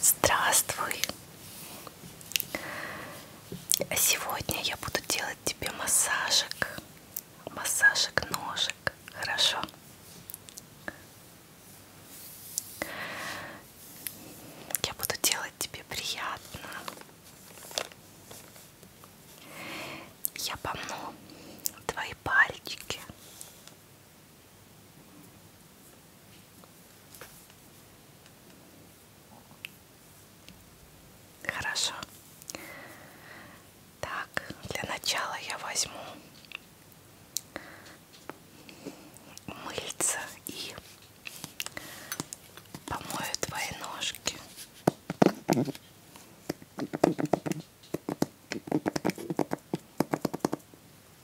Здравствуй! Сегодня я буду делать тебе массажик, массажик ножек, хорошо? Я буду делать тебе приятно. Я помну твои пальчики Хорошо. Так, для начала я возьму мыльца и помою твои ножки.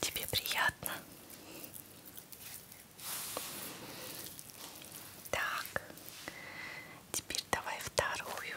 Тебе приятно? Так, теперь давай вторую.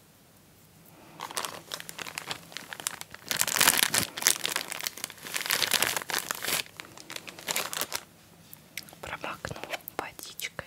Промокну водичкой.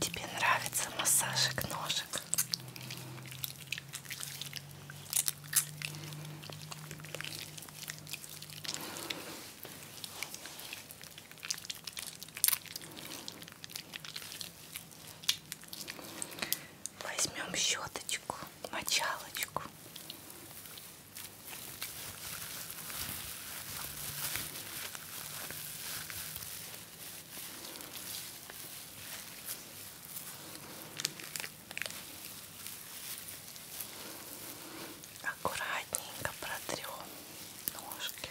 Тебе нравится массажик ножек? Возьмем щеточку, мочалочку. Аккуратненько протрем ножки.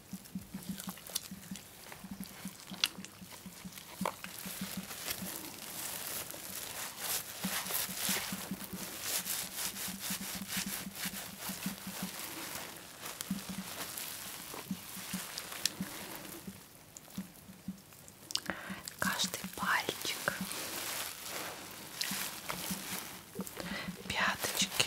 Каждый пальчик, пяточки,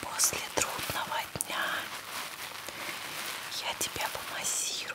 После трудного дня я тебя помассирую.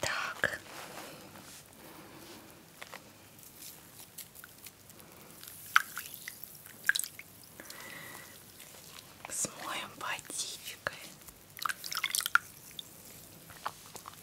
Так. Смоем водичкой.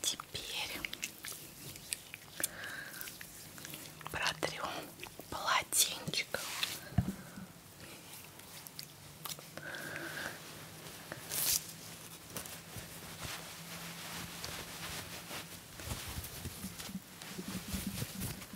Теперь протрем полотенчиком.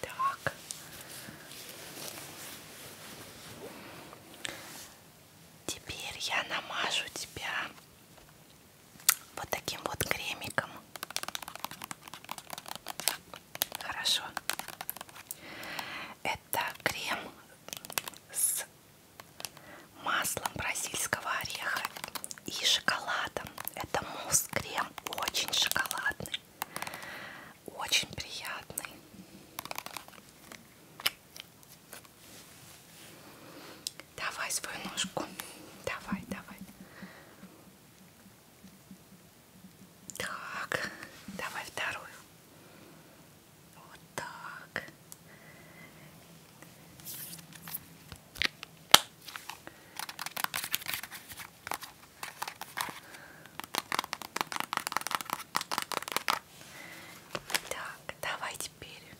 Так. Теперь я намажу тебя вот таким вот кремиком. Хорошо. Это крем с маслом бразильского ореха и шоколадом. Это мусс-крем, очень шоколадный очень приятный. Давай свою ножку. Давай, давай. Так, давай вторую. Вот так. Так, давай теперь.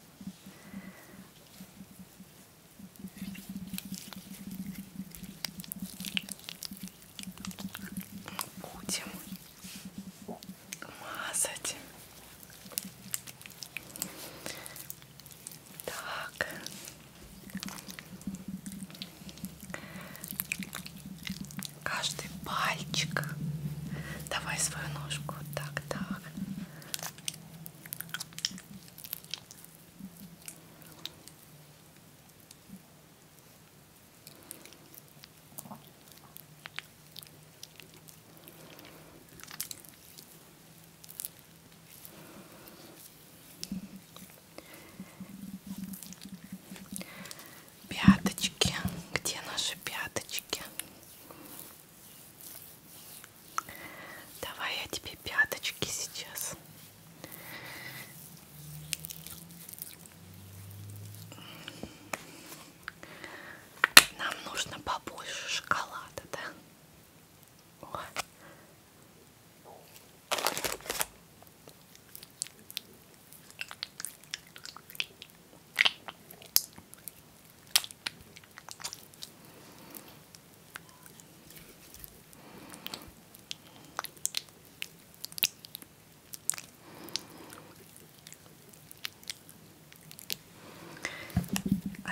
Будем мазать. Так. Каждый пальчик. Давай свою ножку. Так, так. Пяточки. Где наши пяточки? Давай я тебе пяточки сейчас. Нам нужно побольше шоколада, да? О.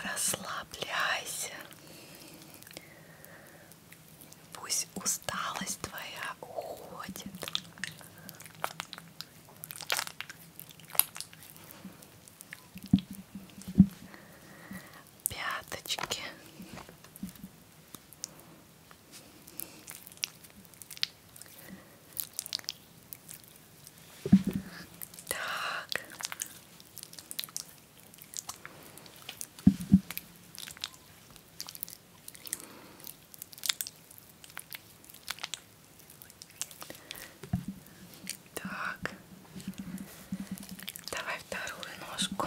Расслабляйся, Пусть усталость твоя уходит. Пяточки. Так. Так, давай вторую ножку.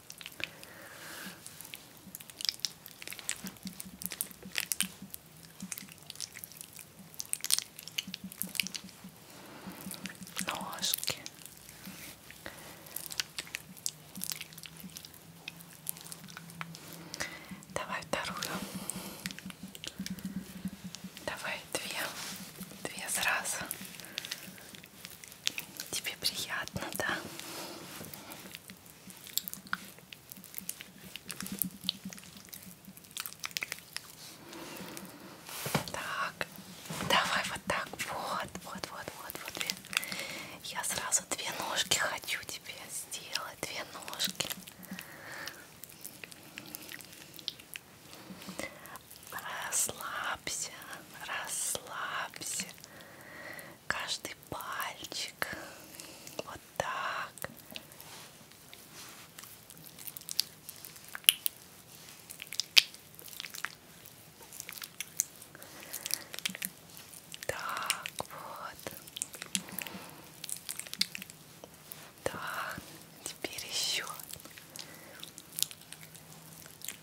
ножки. Давай вторую. Давай две. Две сразу. Тебе приятно, да? Так, давай вот так, вот, вот, вот, вот, вот. Две. Я сразу две ножки хочу тебе сделать, две ножки. Расслабься, расслабься каждый пальчик. Вот так. Так, вот. Да, теперь еще.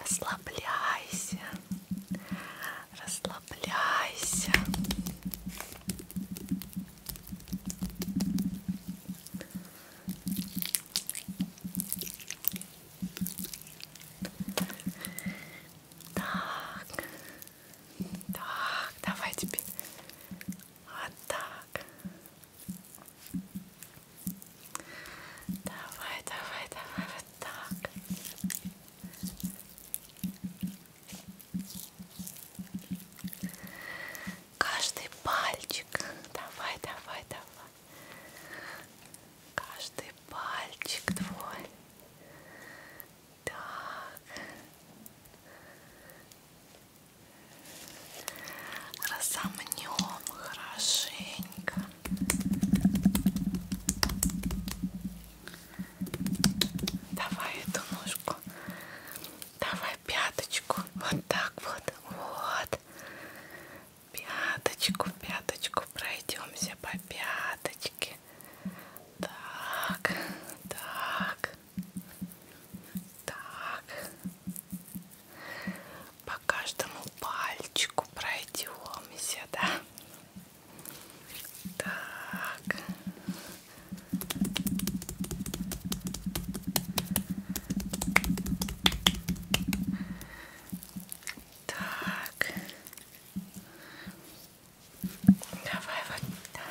Расслабляйся, расслабляйся. Так, так, давай теперь вот так. Давай, давай, давай, вот так. Каждый пальчик. Давай, давай, давай. Каждый пальчик твой. Так. Разомнем хорошенько. Давай эту ножку. Давай пяточку. Вот так вот. Вот. Пяточку, пяточку. Пройдемся по пяточке. Так, так, так. По по каждому пальчику пройдемся, да? Так. Так. Давай вот так.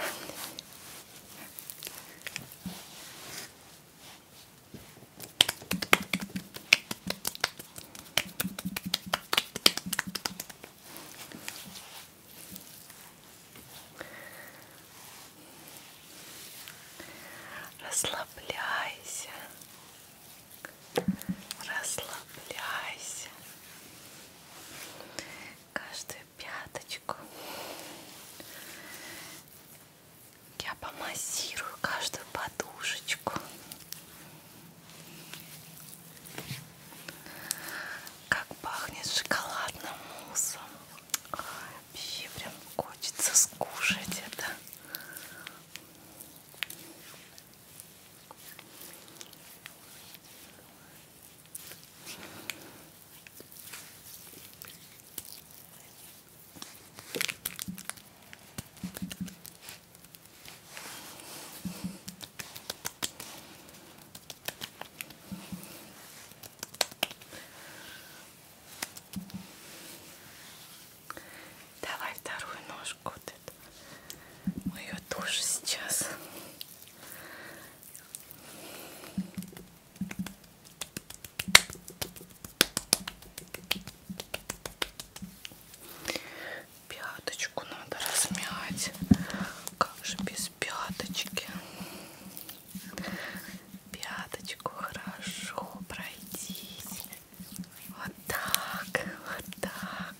Расслабляйся, расслабляйся. Каждую пяточку я помассирую каждую подушечку. Как пахнет шоколадным муссом. Вообще прям хочется скушать это. Давай вторую ножку. Вот Мы ее тоже сейчас. Пяточку надо размять. Как же без пяточки? Пяточку хорошо пройдись. Вот так, вот так.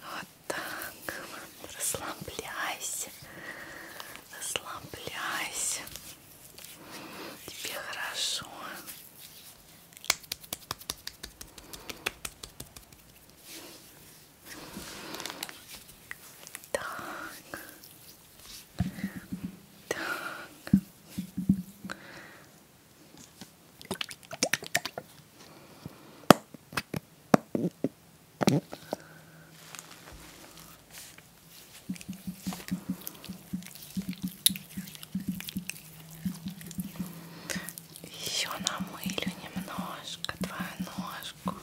Вот так, расслабляйся, расслабляйся. Тебе хорошо. Так, так, еще намылю немножко твою ножку.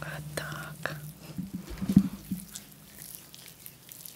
Вот так.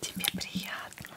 Тебе приятно.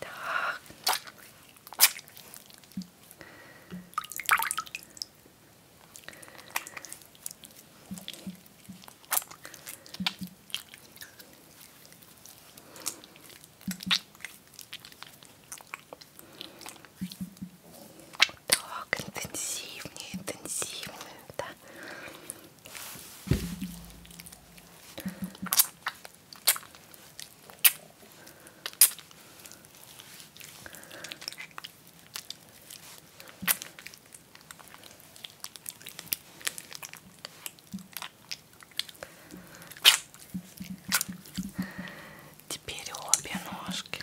Так. Так, интенсивнее, интенсивнее, да. Теперь обе ножки.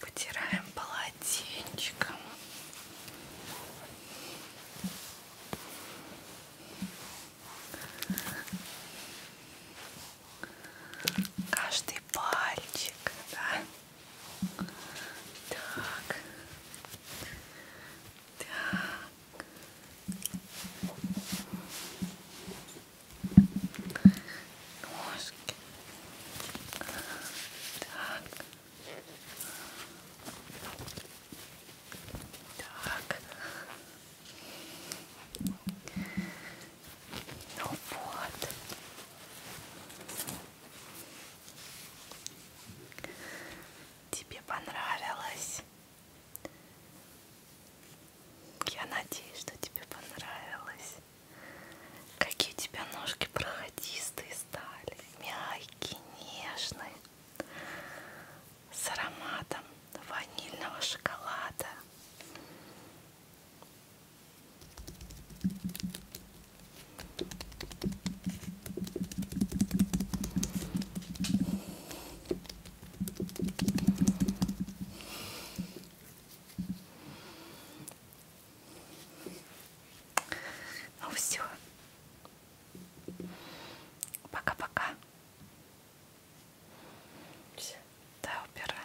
Потираем полотенчиком. Каждый пальчик, да? Так. Так. Ножки. Так. Так. Ну вот. Тебе понравилось? Я надеюсь, что тебе понравилось. Какие у тебя ножки проходистые стали, мягкие, нежные, с ароматом ванильного шоколада. Ну все. Пока-пока. Все. Да, убирай.